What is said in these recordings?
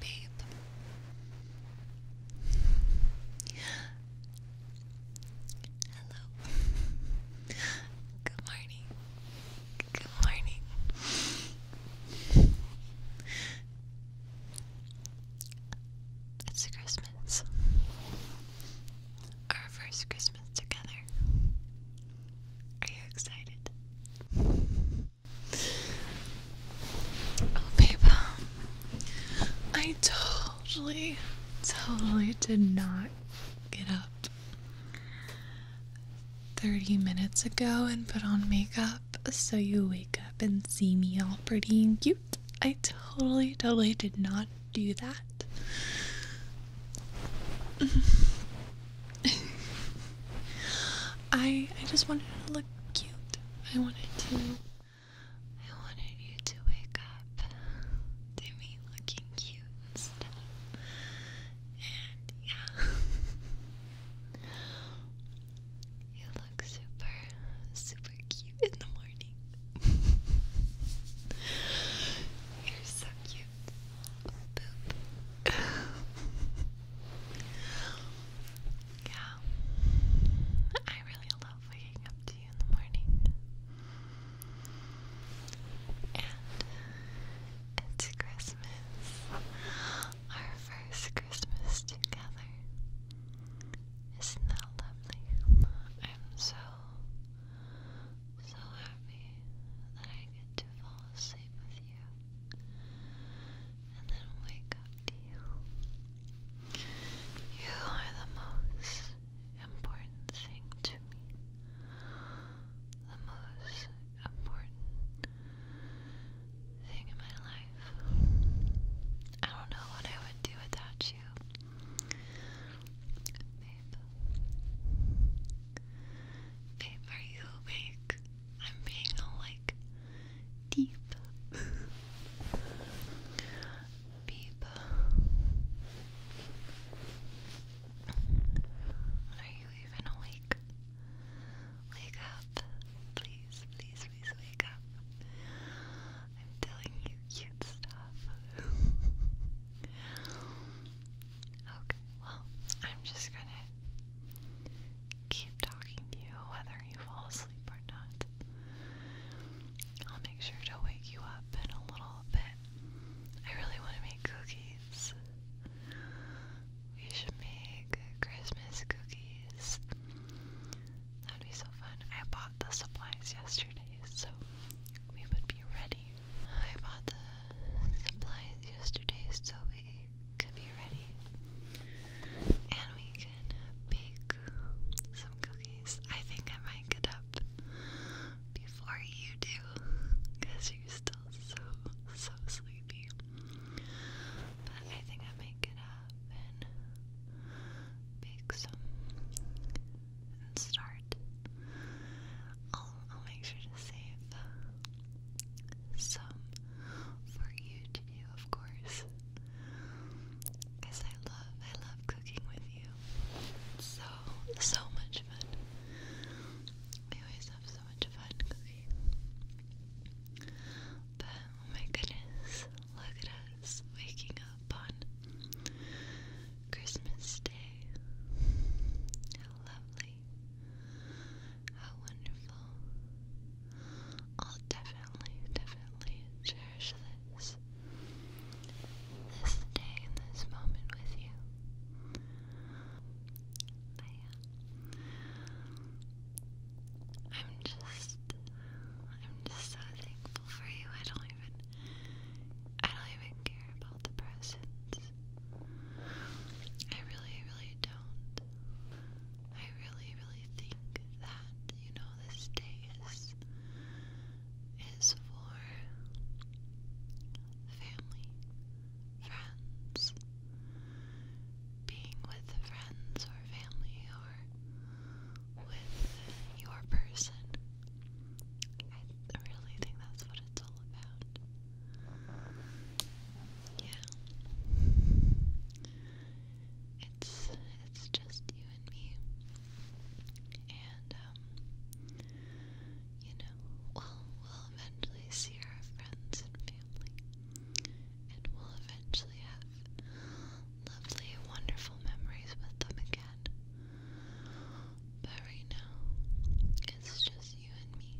Babe. Hello. Good morning. Good morning. It's Christmas. Our first Christmas together. Are you excited? Oh, babe, I totally, totally did not get up 30 minutes ago and put on makeup so you wake up and see me all pretty and cute. I totally, totally did not do that. I I just wanted to look cute. I wanted to I wanted you to wake up to me looking cute and stuff. And yeah. you look super super cute in the morning. You're so cute. Boop. yeah. I really love waking up to you in the morning. And it's Christmas. Our first Christmas together. Isn't that lovely? I'm so so happy that I get to fall asleep with you and then wake up to you. You are the most important thing to me. The most important thing in my life. I don't know what I would do without you. Babe. are you awake? I'm being like deep. Beep. Are you even awake? Wake up. Please, please, please wake up. I'm telling you cute stuff. Okay, well, I'm just gonna keep talking to you whether you fall asleep or not. I'll make sure to wake you up in a little bit. I really want to make cookies. We should make Christmas cookies. That'd be so fun. I bought the supplies yesterday, so we would be ready I bought the supplies yesterday so we could be ready. And we can bake some cookies. I think I might get up before you do because you're still so, so sleepy. But I think I might get up and bake some start. I'll, make sure to save some for you to do, of course. Because I love, I love cooking with you. so, so much fun. We always have so much fun cooking. But, oh my goodness, look at us waking up on Christmas Day. How lovely. How wonderful. I'll definitely, definitely cherish this. This day this moment with you. I'm just, I'm just so thankful for you. I don't even I don't even care about the presents. I really, really don't. I really, really think that, you know, this day is is for family, friends, being with friends or family or with your person I really think that's what it's all about. Yeah. It's it's just you and me. And um you know, well we'll eventually see our friends and family. And we'll eventually have lovely, wonderful memories with them again. But right now, it's just you and me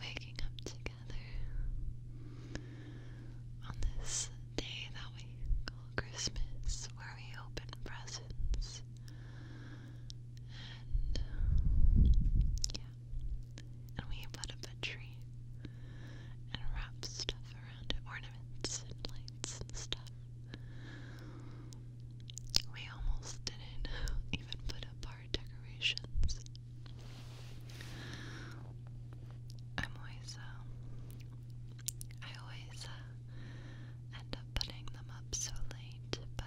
waking up together on this day that we call Christmas, where we open presents. And yeah, and we put up a tree and wrap stuff around it, ornaments and lights and stuff. We almost didn't even put up our decorations. Um, i always, I uh, always end up putting them up so late, but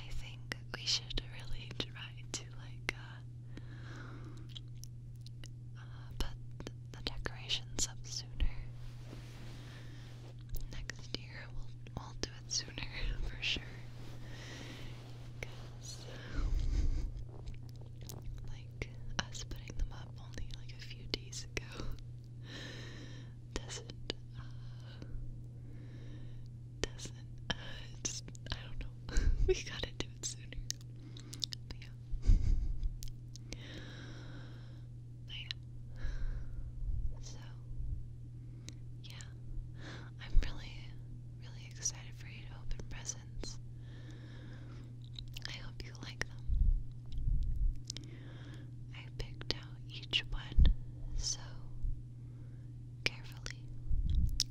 I think we should really try to like uh, uh, the decorations up sooner. Next year we'll, we'll do it sooner for sure. like, us putting them up only like a few days ago doesn't, uh, doesn't, uh, just, I don't know. we gotta do it sooner yeah. So yeah. I'm really, really excited for you to open presents. I hope you like them. I picked out each one so carefully.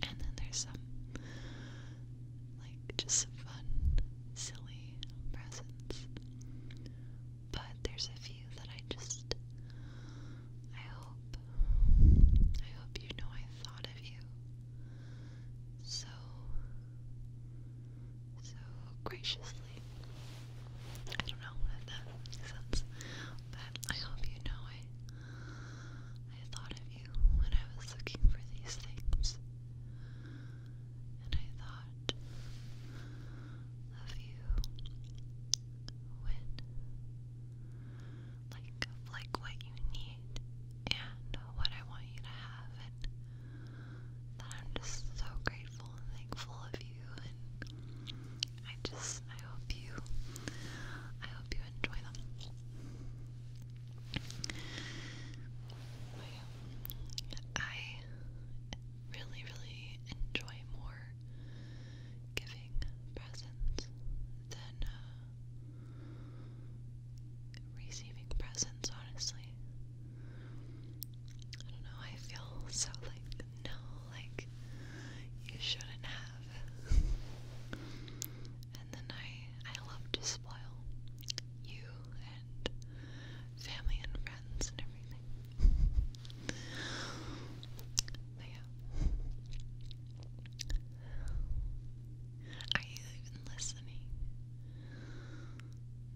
And then there's some like just fun, silly presents. But there's a few that I just I hope I hope you know I thought of you. So so graciously. I don't know if that makes sense. But I hope you know I I thought of you when I was looking for these things and I thought of you when, like, like what you need and what I want you to have, and that I'm just so grateful and thankful of you, and I just, I hope you, I hope you enjoy them. I really, really enjoy more giving presents than uh, receiving presents, honestly. I don't know, I feel so like, no, like, you shouldn't have and then I, I love to spoil you and family and friends and everything. but yeah. Are you even listening?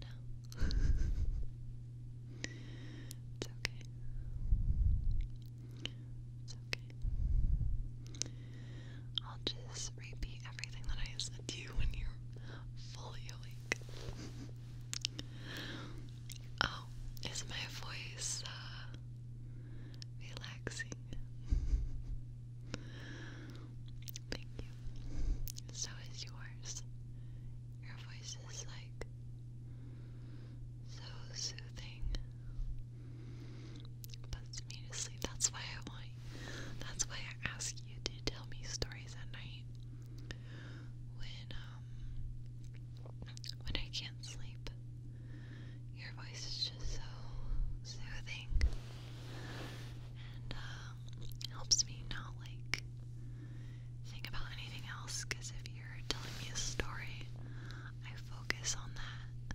No. it's okay. It's okay. I'll just repeat everything that I said to you when you're fully awake. oh, is my voice uh, relaxing? Thank you. So is yours. Your voice is like so soothing puts me to sleep. That's why I want. That's why I ask you to tell me stories at night. When um when I can't sleep, your voice is just so soothing and um, helps me not like think about anything else. Because if you're telling me a story, I focus on that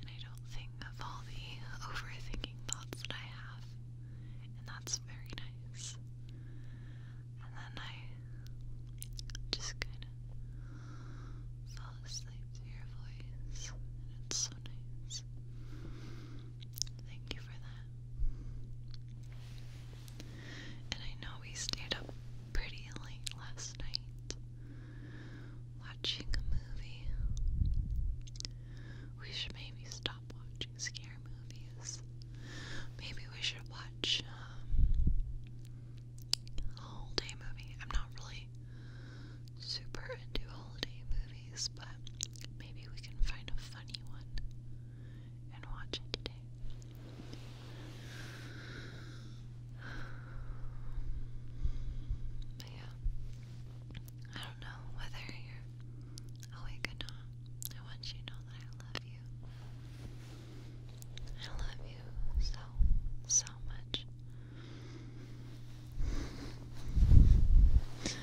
and I don't think of all the overthinking thoughts that I have, and that's very nice. And then I just kind of fall asleep to your voice, and it's so nice. Thank you for that. And I know we stayed up pretty late last night watching a movie. We should maybe stop watching scary movies. Maybe we should watch um, a holiday movie. I'm not really super into holiday movies, but maybe we can find a funny one and watch it today. But yeah, I don't know whether you're awake or not. I want you to know that I love you. I love you so, so much. So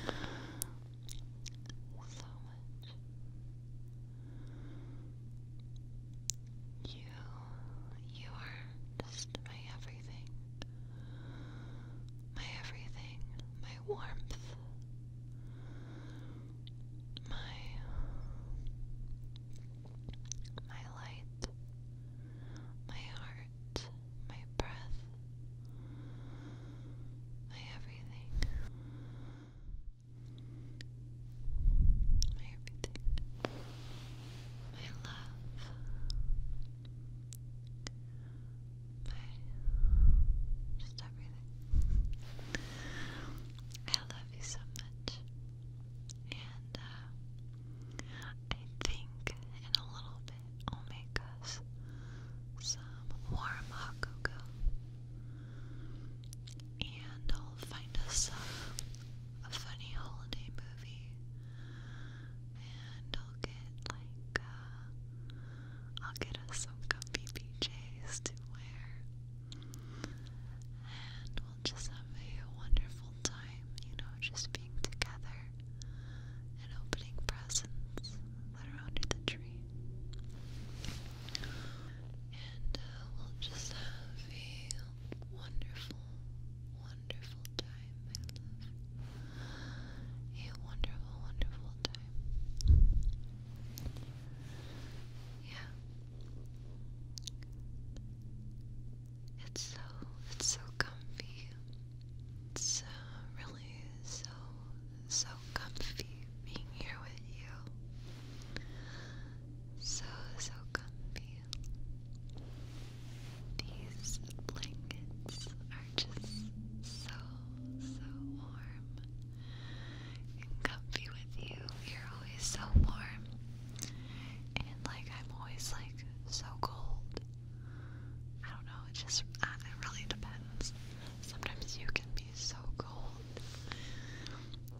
much. You you are just my everything. My everything. My warmth. My my light, my heart, my breath, my everything, my everything, my love, I just everything. I love you so much. And uh, I think in a little bit I'll make us some warm hot cocoa. And I'll find us a funny holiday movie and I'll get like uh, I'll get us some comfy PJs to wear, and we'll just have a wonderful time, you know, just being together and opening presents that the tree. And uh, we'll just have a wonderful, a wonderful, wonderful time. Yeah. It's so, it's so comfy. It's uh, really so, so comfy being here with you. So, so comfy. These blankets are just so, so warm and comfy with you. You're always so warm. And like, I'm always like so cold. I don't know, it just, it really depends. Sometimes you can be so cold.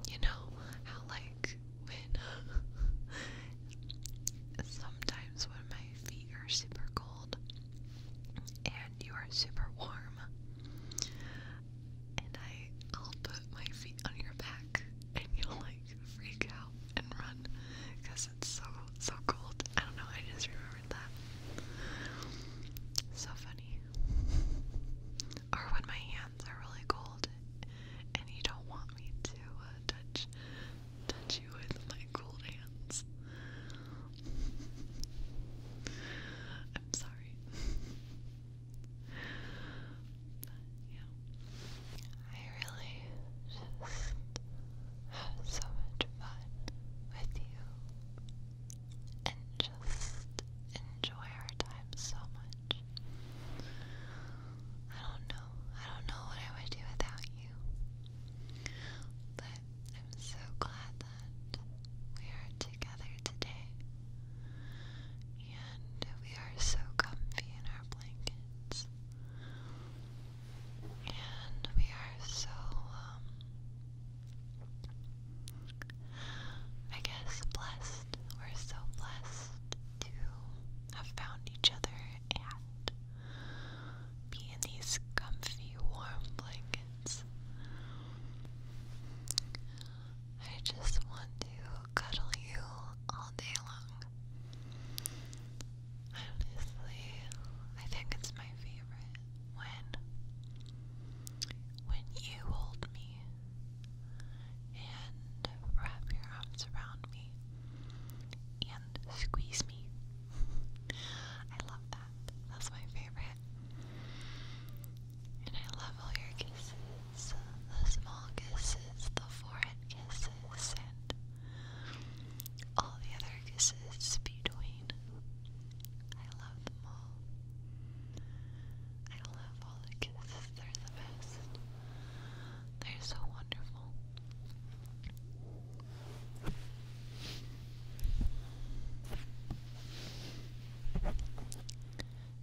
You know, how like when sometimes when my feet are super cold and you are super warm, and I, I'll put my feet on your back and you'll like freak out and run because it's so, so cold. I don't know, I just remembered that. So funny. Or when my hands are really cold and you don't want me to uh, touch touch you with my cold hands. I'm sorry. yeah. I really just had so much fun with you and just enjoy our time so much. I don't know I don't know what I would do without you. But I'm so glad that we are together today. And we are so comfy in our blankets. And we are so, um, I guess blessed. We're so blessed to have found each other and be in these comfy, warm blankets. I just want to cuddle you all day long. Honestly, I think it's my favorite when when you hold me and wrap your arms around me and squeeze me. I love that. That's my favorite. And I love all your kisses the small kisses, the forehead kisses, and all the other kisses between. I love them all. I love all the kisses, they're the best. They're so wonderful.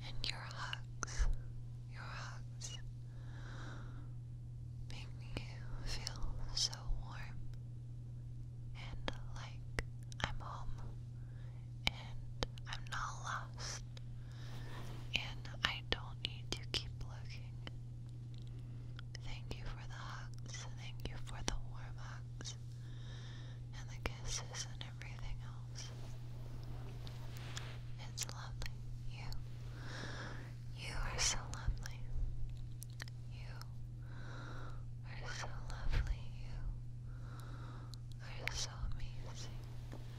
And your hugs, your hugs make me feel so warm and like I'm home and I'm not lost. And I don't need to keep looking. Thank you for the hugs. Thank you for the warm hugs. And the kisses and everything else. It's lovely. You. You are so lovely. You are so lovely. You are so amazing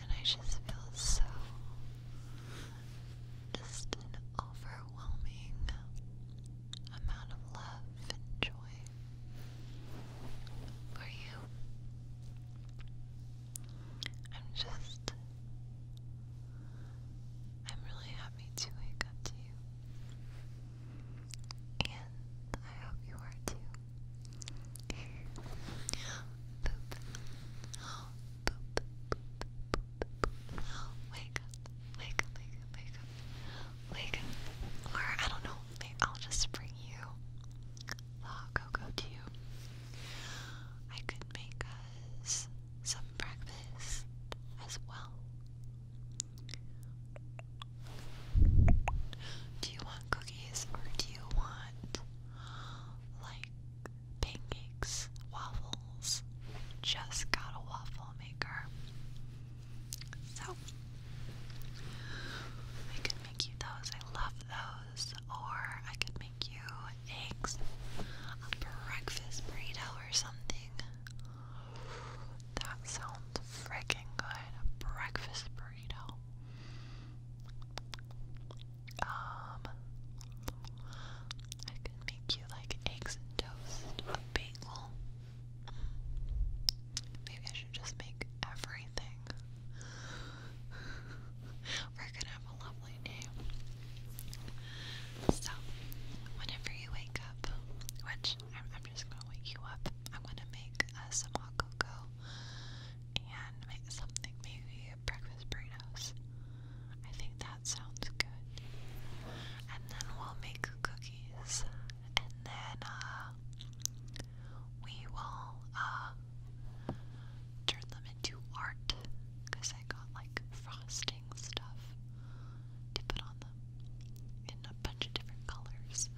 and I just feel so just an overwhelming amount of love and joy for you. I'm just I'm really happy to wake up to you. And I hope you are too. Poop. wake up. Wake wake wake Wake Or, I don't know, maybe I'll just bring you hot cocoa I could make us some breakfast as well. Do you want cookies or do you want like pancakes, waffles. Just got a waffle maker. So I could make you those. I love those. Or I could make you eggs, a breakfast burrito or something. That sounds freaking good. A breakfast burrito. Um, I could make you like eggs and toast, a bagel. Maybe I should just make everything. We're gonna have a lovely day. So, whenever you wake up, which I'm, just gonna wake you up, I'm gonna make uh, some hot cocoa and make something maybe breakfast burritos. I think that sounds good. And then we'll make cookies, and then uh, we will uh, turn them into art because I got like frosting stuff to put on them in a bunch of different colors.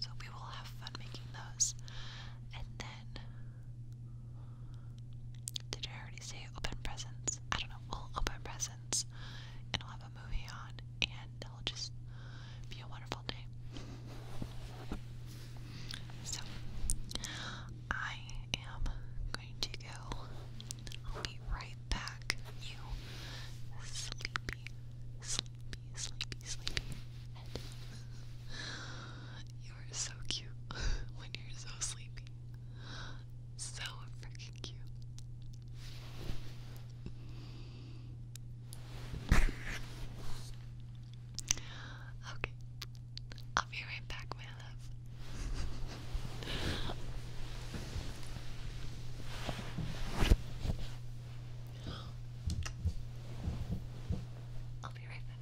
So we will have fun making those. And then did I already say open presents? I don't know. We'll open presents and I'll have a movie on and it'll just be a wonderful day. So, I am going to go. I'll be right back. You sleepy sleepy, sleepy you are so cute when you're so sleepy. So freaking cute. Okay. I'll be right back, my love. I'll be right back.